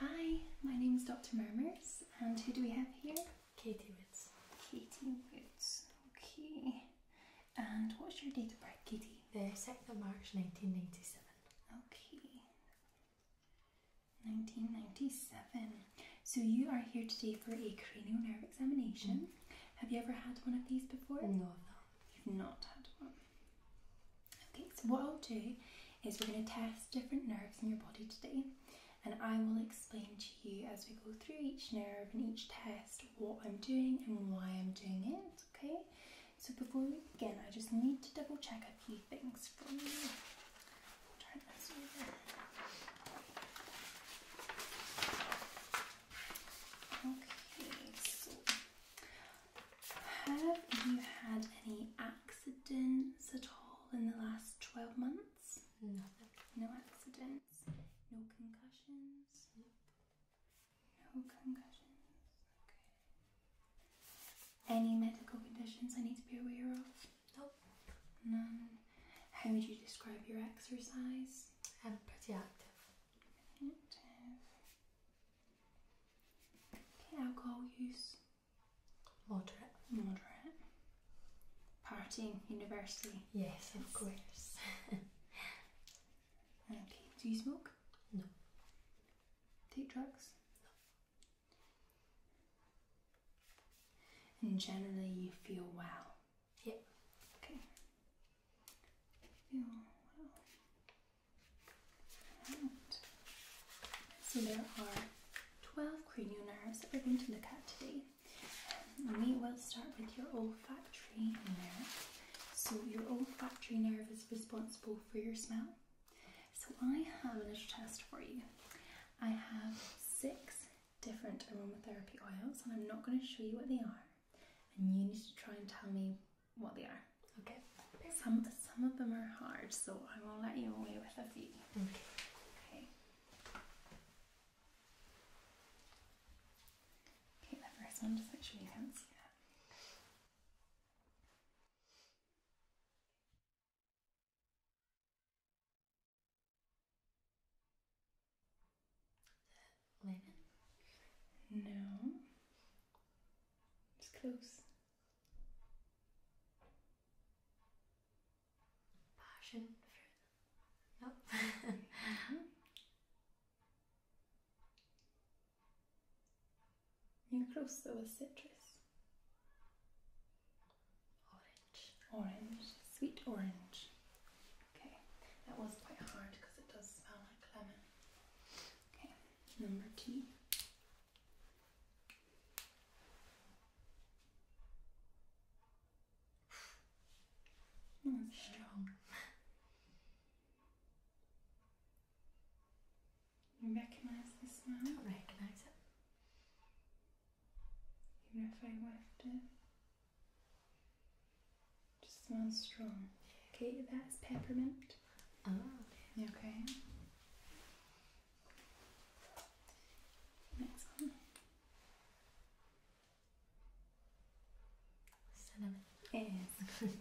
Hi, my name is Dr. Murmurs, and who do we have here? Katie Woods. Katie Woods, okay. And what's your date of birth, Katie? The second of March 1997. Okay. 1997. So you are here today for a cranial nerve examination. Mm-hmm. Have you ever had one of these before? No, You've not had one. Okay, so what I'll do is we're going to test different nerves in your body today, and I will explain to you as we go through each nerve and each test what I'm doing and why I'm doing it. Okay, so before we begin, I just need to double check a few things for you. Turn this over. Okay, so have you had any accidents at all in the last 12 months? Nothing. No accidents? No concussions? No concussions. Okay. Any medical conditions I need to be aware of? No. None. How would you describe your exercise? I'm pretty Active. Alcohol use, moderate, moderate. Partying, university. Yes, of course. okay. Do you smoke? No. Take drugs? No. And generally, you feel well. Yep. Okay. Feel well. So there are 12 cranial nerves that we're going to look at today. we will start with your olfactory nerve. So your olfactory nerve is responsible for your smell. So I have a little test for you. I have six different aromatherapy oils and I'm not going to show you what they are. And you need to try and tell me what they are. Okay. Some some of them are hard, so I will let you away with a few. Okay. Okay. Okay, the first one, just make sure you can't see that. Linen? No. It's close. Passion No. Mm-hmm. You're close though with citrus. Orange. Orange. Sweet orange. Okay, that was quite hard because it does smell like lemon. Okay, number two. That's strong. You recognize the smell? I recognize it. Even if I whiffed it just smells strong. Okay, that's peppermint. Oh, okay? Next one. Cinnamon. Yes.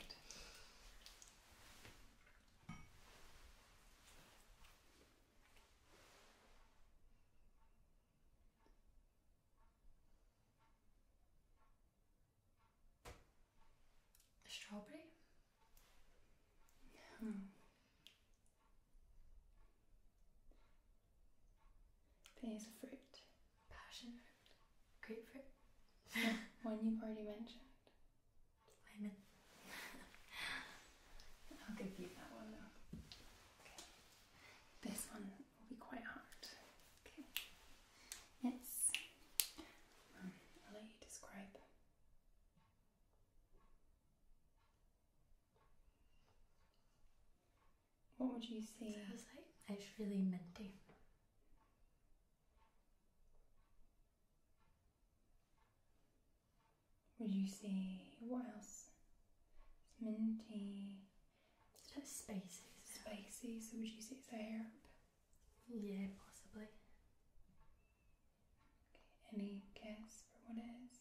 Strawberry? No. Hmm. There's Passion fruit. Grapefruit. one you've already mentioned. Lemon. I'll give you that one though. Okay. This one will be quite hard. Okay. Yes. let you describe. What would you see? So was like, it's really minty. Would you see what else? minty. It's a bit spacey. So would you say it's yeah, possibly. any guess for what it is?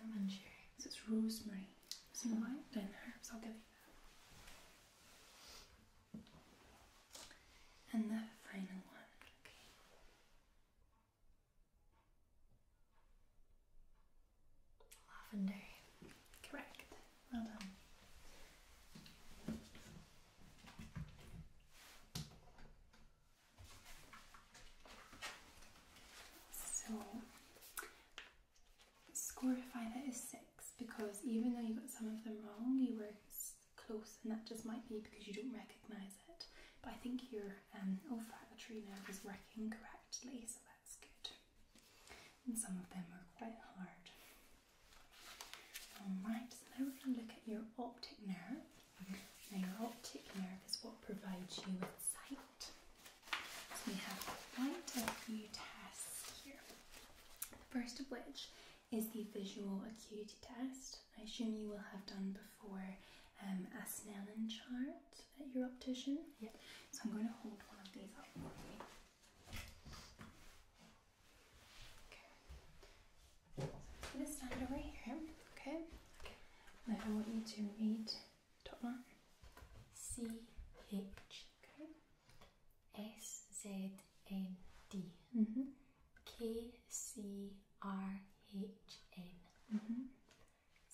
I'm unsure. So it's rosemary. So you herbs, I'll give you that. And the final one, okay. Lavender. Correct. Well done. So score for that is six because even though you got some of them wrong, you were close, and that just might be because you don't recognise it. But I think your um, olfactory oh, nerve is working correctly, so that's good. And some of them are quite hard. Alright, so now we're going to look at your optic nerve. Now, your optic nerve is what provides you with sight. So, we have quite a few tests here. The first of which is the visual acuity test. I assume you will have done before um, a Snellen chart at your optician. Yep. So, I'm going to hold one of these up for you. Okay. I'm gonna stand over here. Okay. And I want you to read top one. C H okay. S Z N D -hmm. K C R H N -hmm.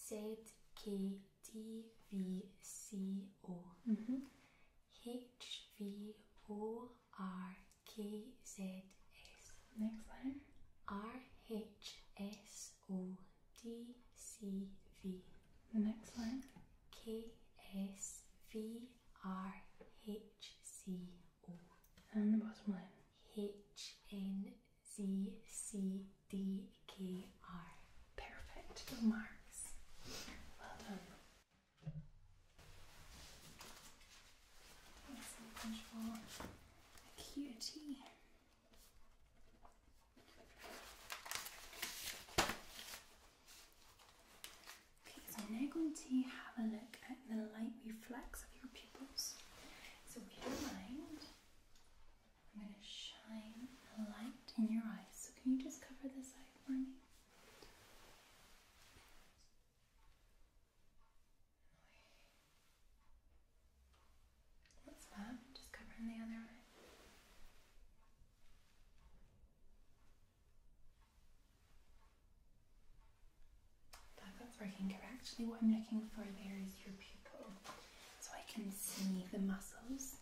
Z K D V C O -hmm. H V O R K Z S. Next letter. R H S O D C V. The next letter. K S V R H C O. And the bottom line. H N Z C D K R. Perfect. marks. Well done. Let's control acuity. Okay, so I'm now going to have a look at the light reflex of your pupils. So if you mind, I'm going to shine a light in your eyes. So can you just cover this eye for me? Just covering the other eye. That, that's working correctly. What I'm looking for there is your pupil. So I can see the muscles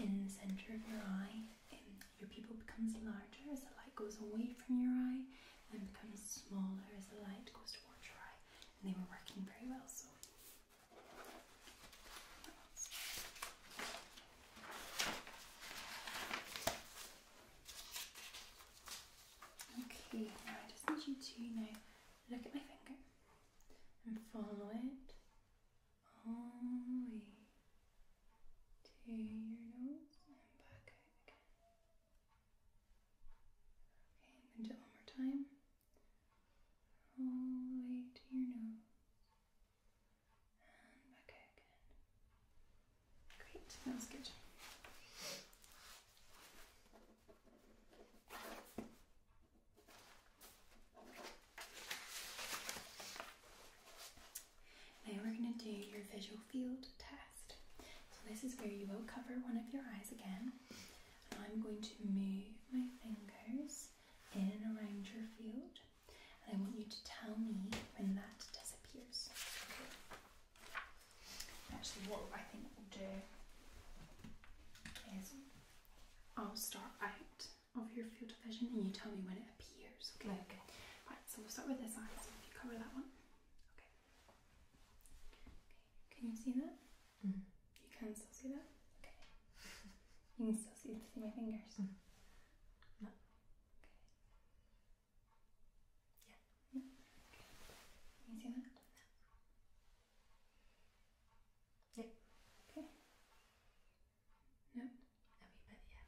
in the center of your eye your pupil becomes larger as the light goes away from your eye and becomes smaller as the light goes towards your eye. And they were working very well, so. Okay, now I just need you to now look at my finger and follow it to your nose and back again. Okay, i one more time. All the way to your nose and back again. Great, that good. Now we're going to do your visual field test. So this is where you will cover one of your eyes again. And I'm going to move my fingers in and around your field. And I want you to tell me when that disappears. Actually, what I think we'll do is I'll start out of your field of vision and you tell me when it Okay, Right, so we'll start with this eye. So you cover that one. Okay. Can you see that? Mm. You can still see that? Okay. you can still see, see my fingers? Mm. No. Yeah. Okay. you see that? No. Okay. No, a wee bit, yeah.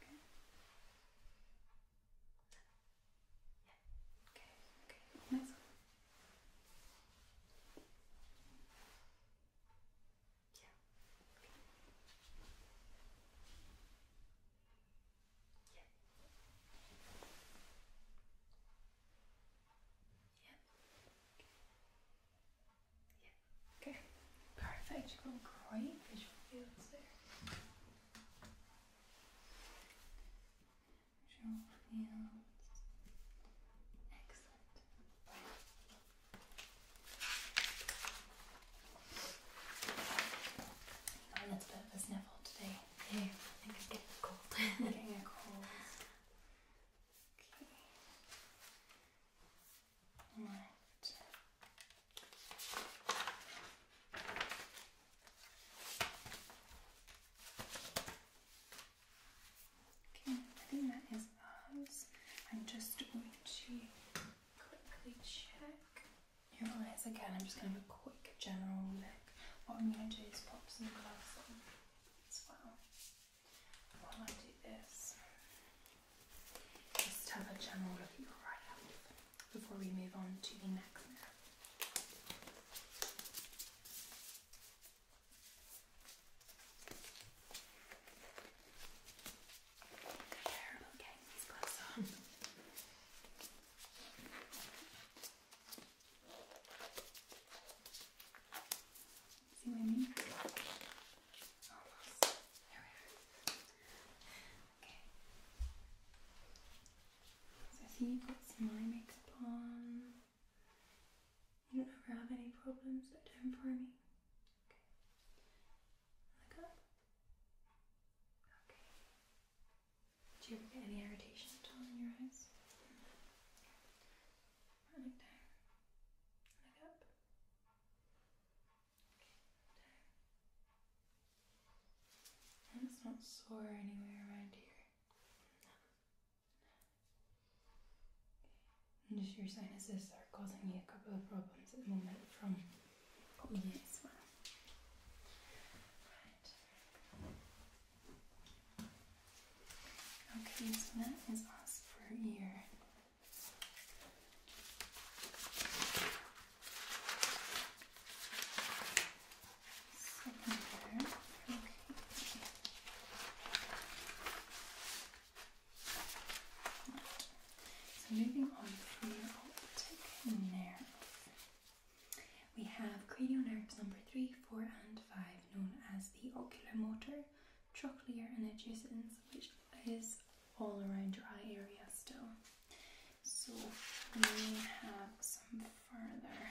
Yeah. Okay. No. Yeah. Okay. Okay. Next one. Yeah. Okay. Yeah. Yeah. Okay. Yeah. Okay. Perfect. You've got great visual fields there. Visual fields. Excellent. Oh, a little bit of a sniffle today. Yeah, I think I'm getting a cold. I'm getting a cold. Okay. Okay, I think that is eyes. I'm just going to quickly check your eyes again. I'm just going to have a quick general look. What I'm going to do is pop some gloves on as well just have a general look at your eye health before we move on to the next mirror. Terrible getting See what I mean? Okay. So see you put some eye makeup on. You don't ever have any problems that do for me. Okay. Look Okay. Do you ever get any irritation at all in your eyes? Right, look and it's not sore anywhere around here. And just your sinuses are causing you a couple of problems at the moment from me as well. Okay, so that is us for your so moving on to your optic nerve. We have cranial nerves number three, four, and five, known as the oculomotor, trochlear, and adjacent, which is all around dry area still. So we have some further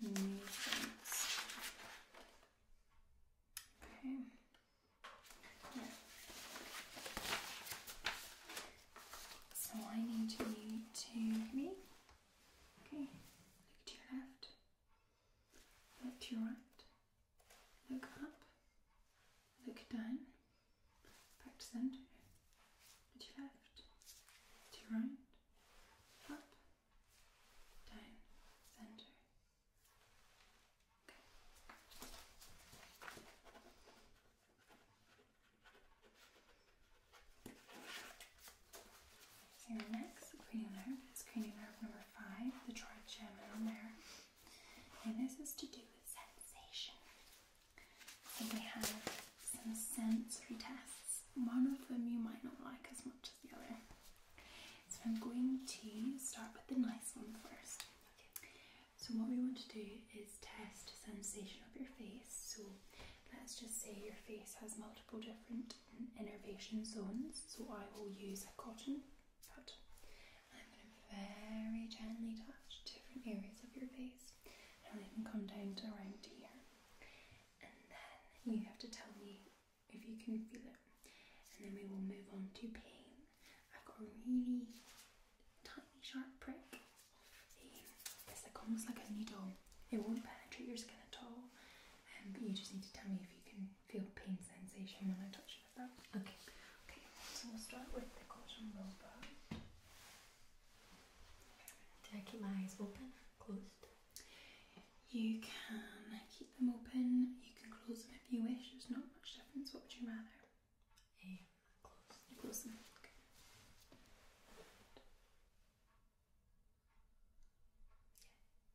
movements. Okay. So I need you to me. Okay. Look left. right. Look up, look down, back to centre, to your left, to your right, up, down, centre. Okay. So your next cranial is cranial number number five, the Troy gem on there. And this is to do with sensation. So we have some sensory tests. One of them you might not like as much as the other. So I'm going to start with the nice one first. So what we want to do is test sensation of your face. So let's just say your face has multiple different innervation zones. So I will use a cotton Good. I'm going to very gently touch different areas of your face. and will even come down to around here. And then you have to tell me if you can feel it. And then we will move on to pain. I've got a really tiny sharp prick. It's like almost like a needle. It won't penetrate your skin at all. Um, but you just need to tell me if you can feel pain sensation when I touch your Okay. Okay. So we'll start with the cotton roller. Do I keep my eyes open closed? You can keep them open. You can close them if you wish. There's not much difference. What would you rather? Um, close. close them. Okay.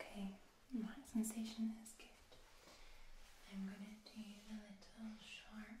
Okay, that sensation is good. I'm going to do the little sharp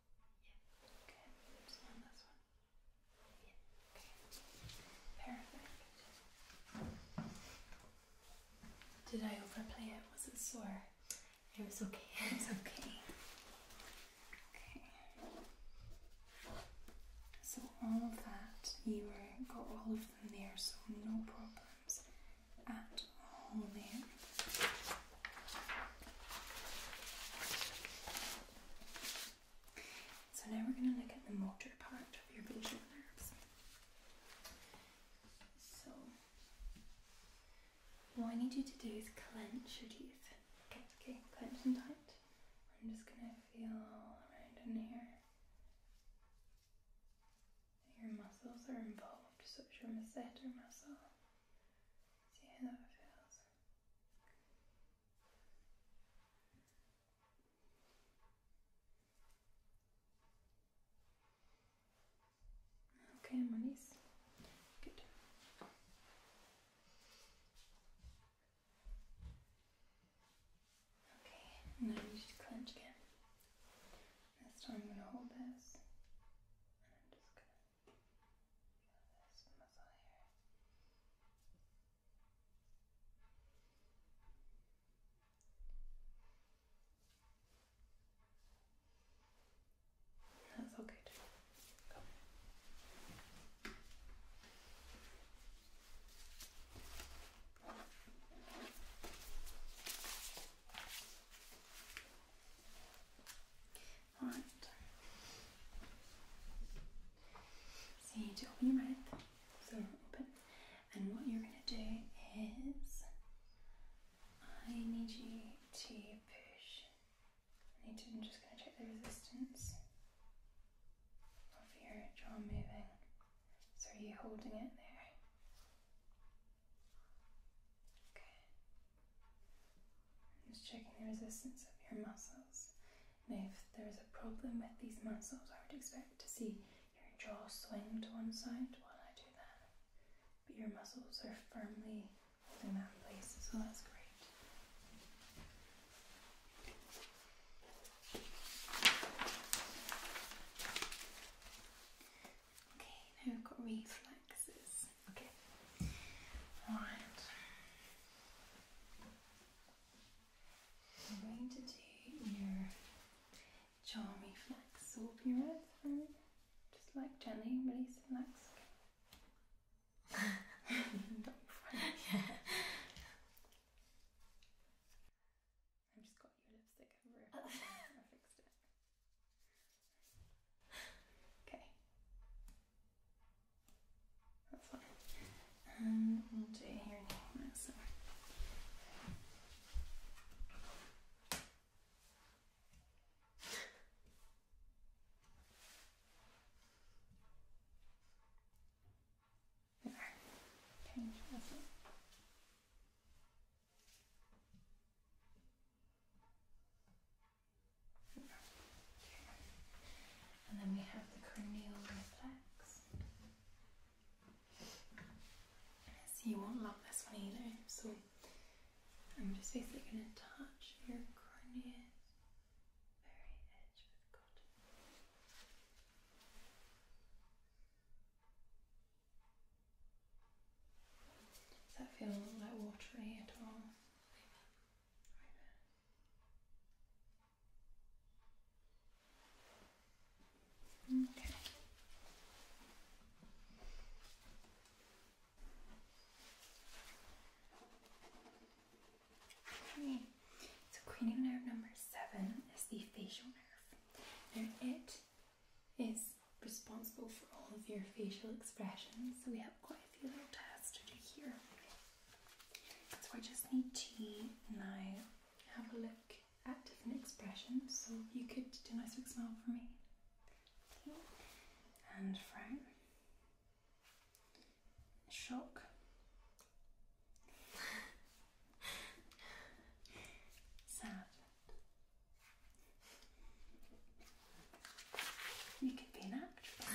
Did I overplay it? Was it sore? It was okay. It's okay. Okay. So all of that, you got all of them there, so no problems at all there. So now we're going to look at the motor part of your vagal nerves. So, what I need you to do is clench your teeth. Okay, okay, clench and tight. I'm just going to feel around in here. Your muscles are involved, such as your masseter muscle. See how it feels. Okay, my knees. Good. Okay, now you to clench again. This time i hold this this muzzle here. That's all good. Go. So you need to open your mouth. So open. And what you're going to do is I need you to push. I need to, just going to check the resistance of your jaw moving. So are you holding it there? Okay. Just checking the resistance of your muscles. if there is a problem with these muscles, I would expect to see your jaw swing to one side while I do that. But your muscles are firmly holding that in place, so that's great. Okay, now I've got reflexes. Okay. All right. I'm going to do your jaw reflex. So open just like gently release and relax. Okay. yeah. i just got your lipstick over. I fixed it. Okay. That's fine. And um, do it here now. So. There. Okay, that's it. And then we have the cranial reflex. you won't love this one either. So I'm just basically going to touch your cranium. Very edge with cotton. Does that feel like watery at all? Okay. Okay. So cranial nerve number seven is the facial nerve. and it is responsible for all of your facial expressions. So we have quite a few little tasks to do here. So I just need to now have a look at different expressions. So you could do a nice big smile for me. And frown. Shock. Sad. You could be an actor.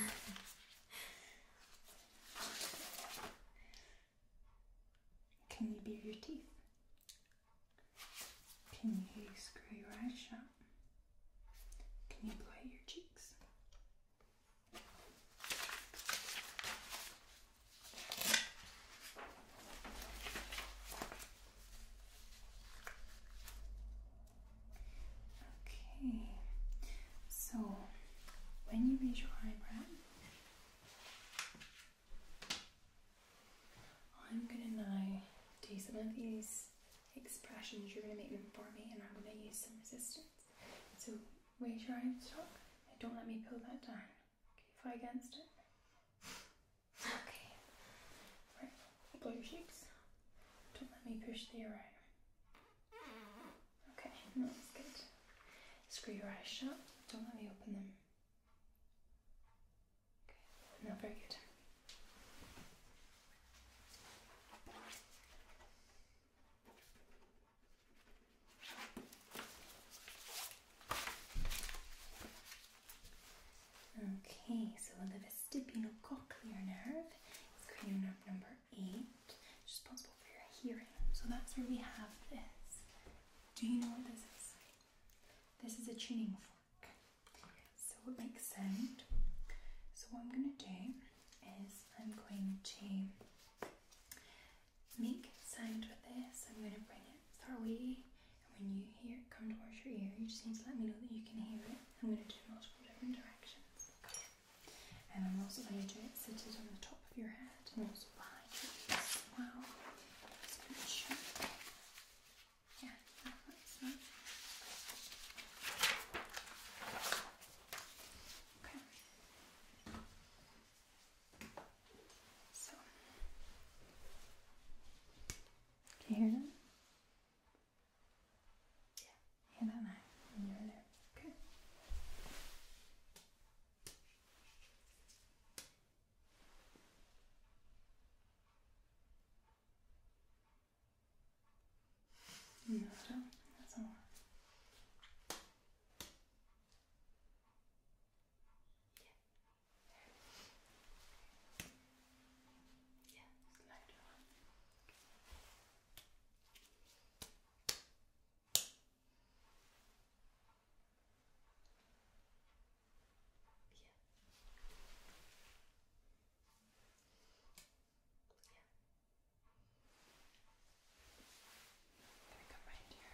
Can you bear your teeth? Can you screw your eyes shut? Can you play your cheeks? Okay, so when you raise your eyebrow, I'm gonna now do some of these expressions. You're gonna make them for me, and I'm gonna use some resistance. So raise your eyebrow. up. Don't let me pull that down. Okay, fight against it. Okay, blue chips. Don't let me push the arrow. Okay, no, good. Screw your eyes shut. Don't let me open them. Okay, no, very good. Okay, so we'll cochlear nerve it's cranial nerve number eight. responsible for your hearing. So that's where we have this. Do you know what this is? This is a tuning fork. So it makes sound. So what I'm going to do is I'm going to make sound with this. I'm going to bring it far away. And when you hear it come towards your ear, you just need to let me know that you can hear it. I'm going to do multiple different directions. And I'm also going to do it seated on the top of your head and also behind your ears as well. Yeah, Okay. So, can you hear them? Yeah, here and I, and you're alone. Okay. No, That's all right. Yeah. Yes, lighter one. Yeah. Yeah. come right here.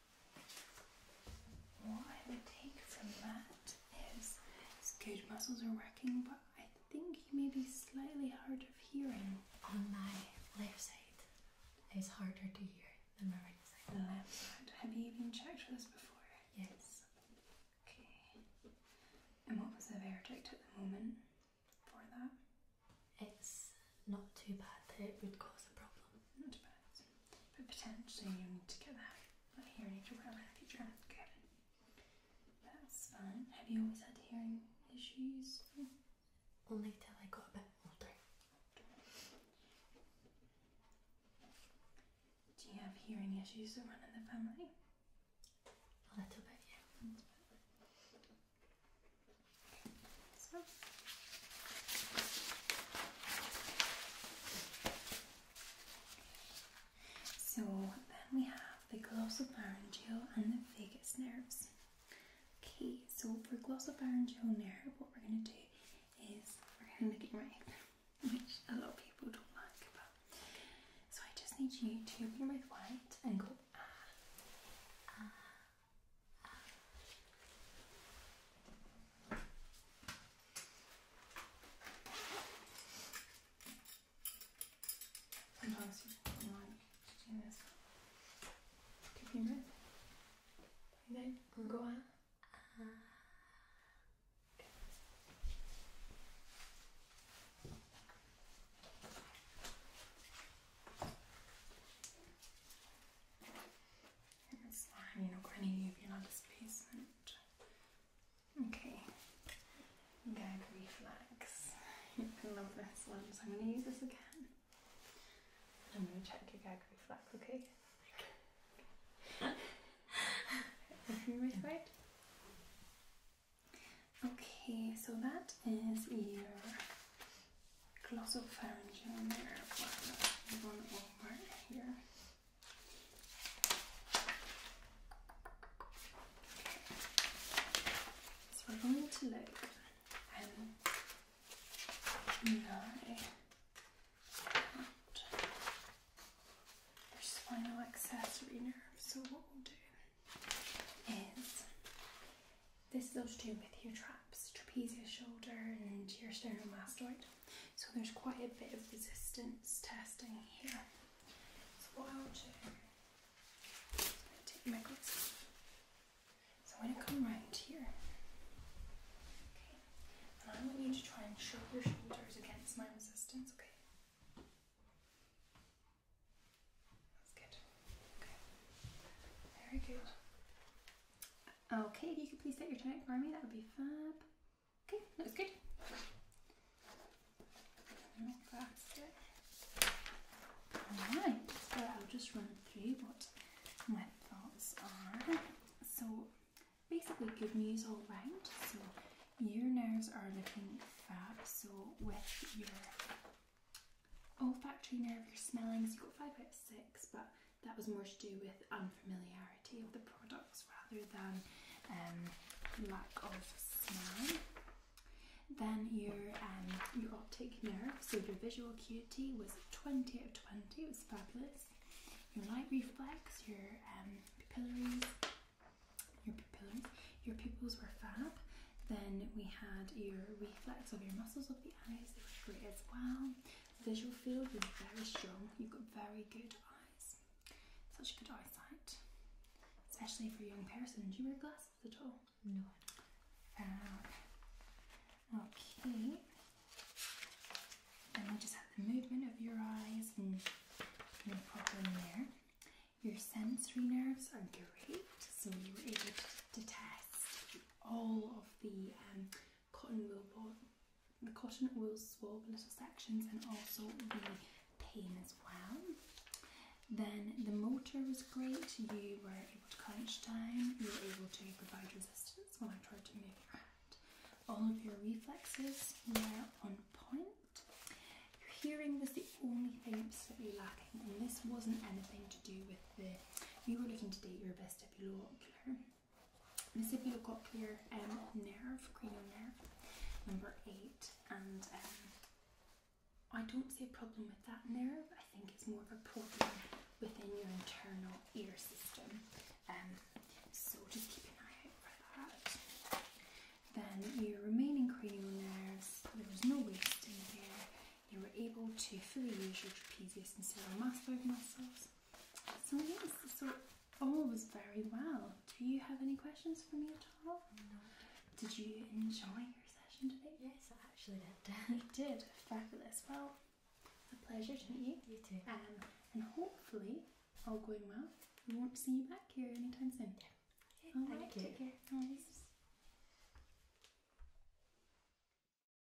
What I would take from that is his good muscles are working, but I think he may be slightly hard of hearing. On my left side, it's harder to hear than my right side. The left side. Have you even checked for this before? Yes. Okay. And what was the verdict at the moment for that? It's not too bad that it would cause a problem. Not bad. But potentially you need to get that like, hearing aid or whatever in the future. Okay. That's fine. Have you always had hearing issues? Only until I got a bit older. Do you have hearing issues that run in the family? A little bit, yeah. So. then we have the glossopharyngeal and the vagus nerves. Okay, so for glossopharyngeal nerve, what we're going to do is we're going to look at your mouth, which a lot of people don't like. But so I just need you to open your mouth wide and go ah, ah, Sometimes you might do this. Keep your breath. Breathe in. Go out. Okay. It's fine, you're not going to uvular displacement. Okay, gag reflex. You love this one, so I'm going to use this again. I'm going to check your gag reflex, okay? Everything Okay. Okay, so that is your glossal pharyngeal nerve. we're going to look at your spinal accessory nerve. So what we'll do is this is all to do with your traps, trapezius shoulder and your sternomastoid. So there's quite a bit of resistance testing here. So what i want to do is i am going to come round here. And I want you to try and shrug your shoulders against my resistance, okay? That's good. Okay. Very good. Okay, if you could please set your tonic for me, that would be fab. Okay, looks good. Alright, so I'll just run through what my thoughts are. So, basically, good news all round. So, your nerves are looking fab. So, with your olfactory nerve, your smelling, so you got five out of six, but that was more to do with unfamiliarity of the products rather than um, lack of smell. Then your um, your optic nerve, so your visual acuity was 20 out of 20, it was fabulous. Your light reflex, your um, your pupillaries, your pupils were fab. Then we had your reflex of your muscles of the eyes, they were great as well visual field is very strong. You've got very good eyes. Such good eyesight. Especially for a young person. Do you wear glasses at all? No. Uh, okay. Then we just have the movement of your eyes and no problem there. Your sensory nerves are great, so you were able to, test all of the um, cotton will pour, the cotton will swab little sections and also the pain as well. Then the motor was great. You were able to crunch down. You were able to provide resistance when I tried to move your hand. All of your reflexes were on point. Your hearing was the only thing absolutely lacking, and this wasn't anything to do with the. You were looking to date your best ocular this if you look up here, um, nerve, cranial nerve, number eight, and um, I don't see a problem with that nerve. I think it's more of a problem within your internal ear system. Um, so just keep an eye out for that. Then your remaining cranial nerves, there was no wasting there. You were able to fully use your trapezius and cervical muscles. So yes, so all was very well. Do you have any questions for me at all? No. Did you enjoy your session today? Yes, I actually did. you did. Fabulous. Well, a pleasure to meet you. You too. Um, and hopefully, all going well, we won't see you back here anytime soon. Yeah. Okay, Take care. Nice.